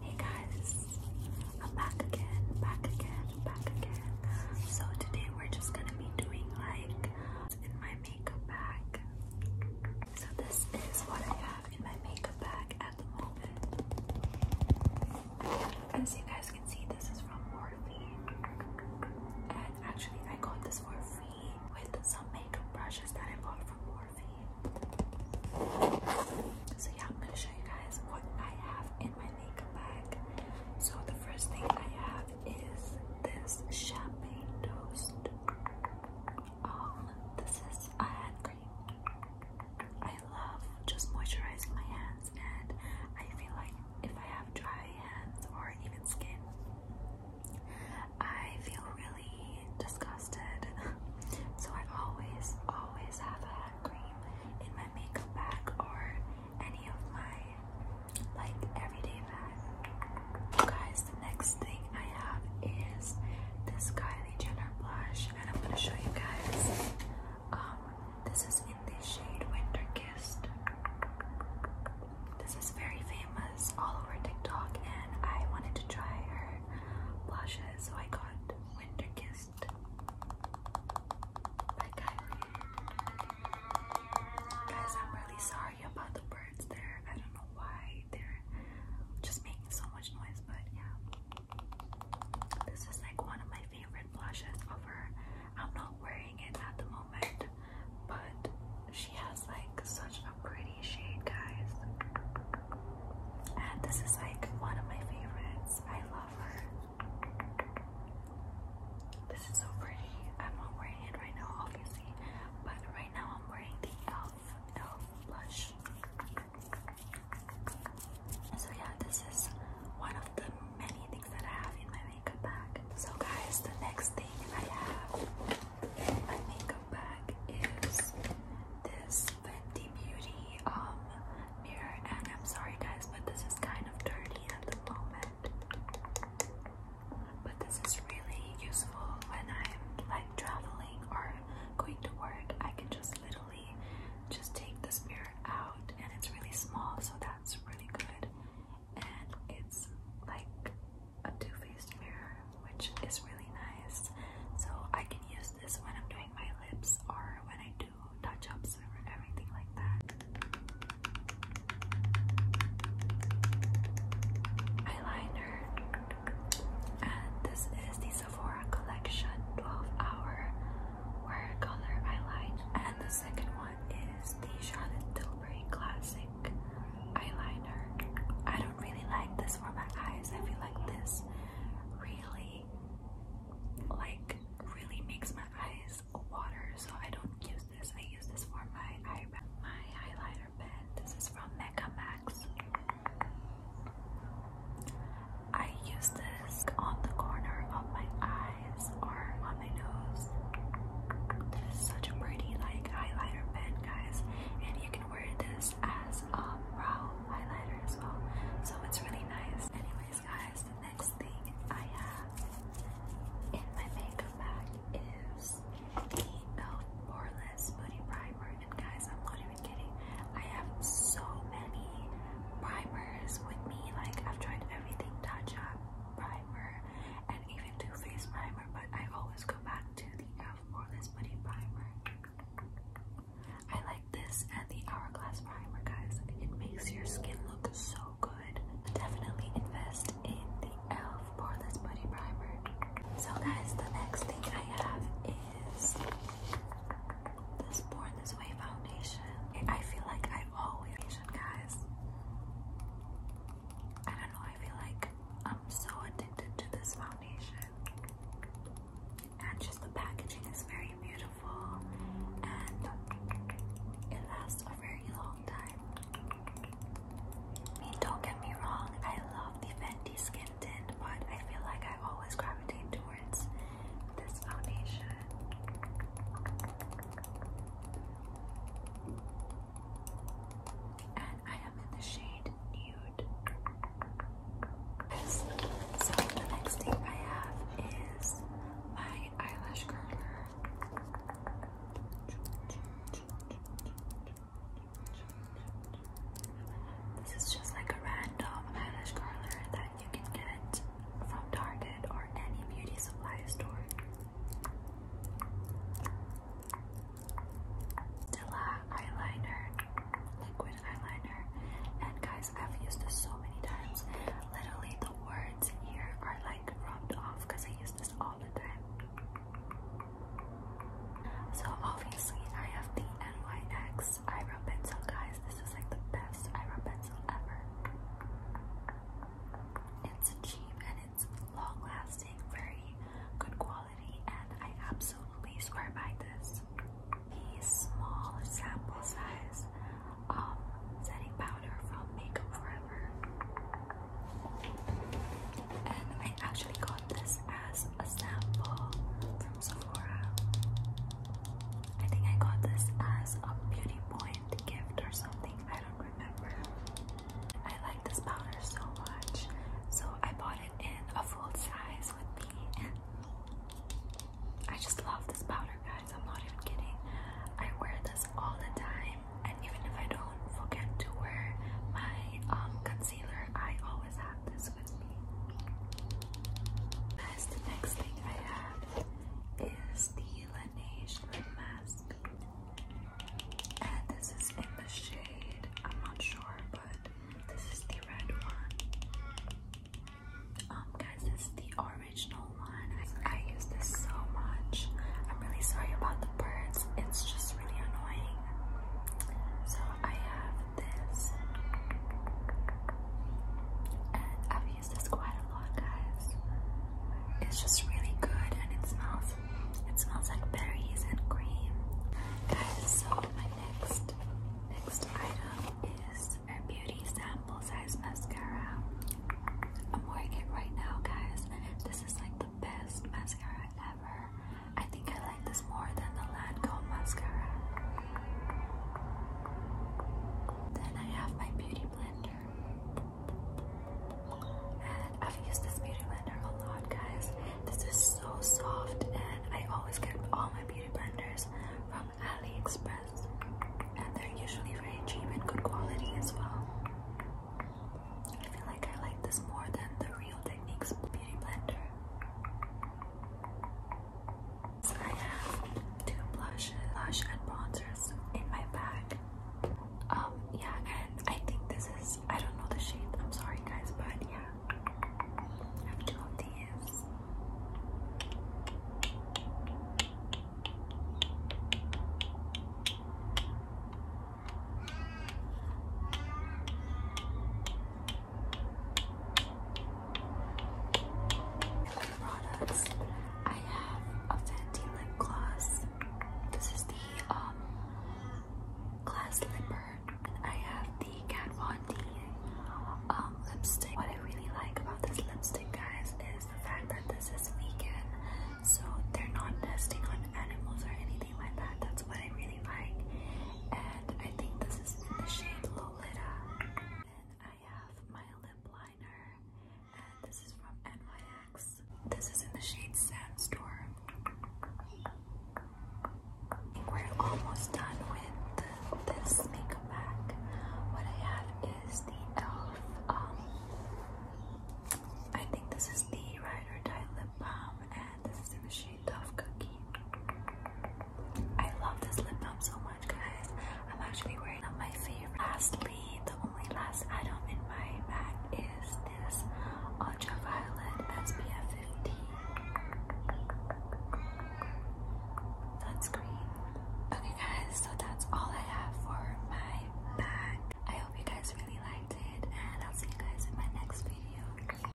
Hey guys, I'm back again, back again, back again. So today we're just gonna be doing like in my makeup bag. So this is what I have in my makeup bag at the moment. As you guys can see, this is from Morphe. And actually I got this for free with some makeup brushes that I bought so yeah, I'm gonna show you guys what I have in my makeup bag. So the first thing I have is this champagne toast. Um, this is a hand cream. I love just moisturizing my hands, and I feel like if I have dry hands or even skin, I feel really disgusted. So I always, always have a cream in my makeup bag or any of my like everyday bag. Guys, the next thing I have is this Kylie Jenner blush, and I'm gonna show you guys. Um, this is in the shade Winter Kissed. This is very famous all over TikTok, and I wanted to try her blushes, so I got Winter by Kylie. Guys, I'm really sorry about the birds there. I don't know why they're just making so much noise, but yeah. This is like one of my favorite blushes of I'm not wearing it at the moment, but she has like such pretty shade, guys. And this is like one of my favorites. I love her. This is so pretty. I'm not wearing it right now, obviously, but right now I'm wearing the Elf Elf blush. So yeah, this is one of the many things that I have in my makeup bag. So guys, the next thing I have my makeup bag is this Fenty Beauty um mirror, and I'm sorry guys, but this is kind of dirty at the moment. But this is really useful when I'm like traveling or going to work. I can just literally just take this mirror out, and it's really small, so that's really good and it's like a two-faced mirror, which is really nice. So I can use this when I'm doing my lips or when I do touch-ups or everything like that. Eyeliner, and this is the Sephora Collection 12-hour wear color eyeline, and the second one is the Charlotte Tilbury Classic eyeliner. I don't really like this for my eyes. I feel like this really like really makes my eyes water so I don't use this. I use this for my eyebrow. My eyeliner pen. This is from Mecca Max. I use this on the corner of my eyes or on my nose lips. This is such a pretty like highlighter pen, guys, and you can wear this as a brow highlighter as well. So it's really nice. Anyways, guys, the next thing I have in my makeup bag is the Elf Poreless Booty Primer. And guys, I'm not even kidding. I have so many primers with me. Like I've tried everything: touch up primer, and even do face primer, but I always go back to the Elf Poreless Putty Primer. I like this and the Hourglass Primer, guys. It makes your skin look so good. Definitely invest in the Elf Poreless buddy Primer. So, guys, the next thing I have is this Born This Way foundation. I feel like I always, guys. I don't know, I feel like I'm so addicted to this foundation. And just the packaging is very beautiful and it lasts a very long time. I mean, don't get me wrong, I love the Fenty Skin Tint, but I feel like I always gravitate towards this foundation. And I am in the shade Nude. So the next thing I have is my eyelash curler. This is just like a random eyelash curler that you can get from Target or any beauty supply store. Dilla eyeliner, liquid eyeliner, and guys, I've used this so many times. Literally, the words here are like rubbed off because I use this all the time. So obviously, I have the NYX eyebrow pencil, guys. This is like the best eyebrow pencil ever. It's cheap and it's long lasting, very good quality, and I absolutely swear by this. The small sample size um, setting powder from Makeup Forever. And I actually got this as a sample from Sephora. I think I got this as a Beauty Boy mint gift or something. I don't remember. I like this powder so much. So I bought it in a full size with me. I just love this powder, guys. I'm not even kidding. I wear this all the time, and even if I don't forget to wear my um, concealer, I always have this with me. That's the next thing I have is the Laneige lip mask. And this is in the shade, I'm not sure, but this is the red one. Um, guys, this is the original one. I, use this so much. I'm really sorry about the birds, it's just really annoying. So I have this, and I've use this quite a lot, guys. It's just really good and it smells it smells like berries and cream. Guys, so my next next item is a beauty sample size mascara. I'm wearing it right now, guys. This is like the best mascara ever. I think I like this more than the Lancome mascara. Then I have my beauty blender. And I've used this beauty blender a lot, guys. This is so soft, and I always get all my beauty blenders from AliExpress. And they're usually very cheap and good quality as well. I feel like I like this more than the Real Techniques Beauty Blender. I have two blush, blush and bronzers in my bag. Um, yeah, and I think this is, I don't know the shade, I'm sorry guys, but yeah. I have two of these products. I have a Fenty lip gloss. This is the um glass lipper. Um, I have the Kat Von D um, lipstick. What I really like about this lipstick, guys, is the fact that this is vegan, so they're not testing on animals or anything like that. That's what I really like, and I think this is in the shade and I have my lip liner, and this is from NYX. This is in the shade Sandstorm. We're almost done with this makeup bag. What I have is the e.l.f. Um, I think this is the Ride Die Lip Balm, and this is in the shade I love this lip balm so much, guys. I'm actually wearing up my favorite. Lastly, the only last item in my bag is this ultraviolet SPF 50 sunscreen. Okay, guys, so that's all I have for my bag. I hope you guys really liked it, and I'll see you guys in my next video.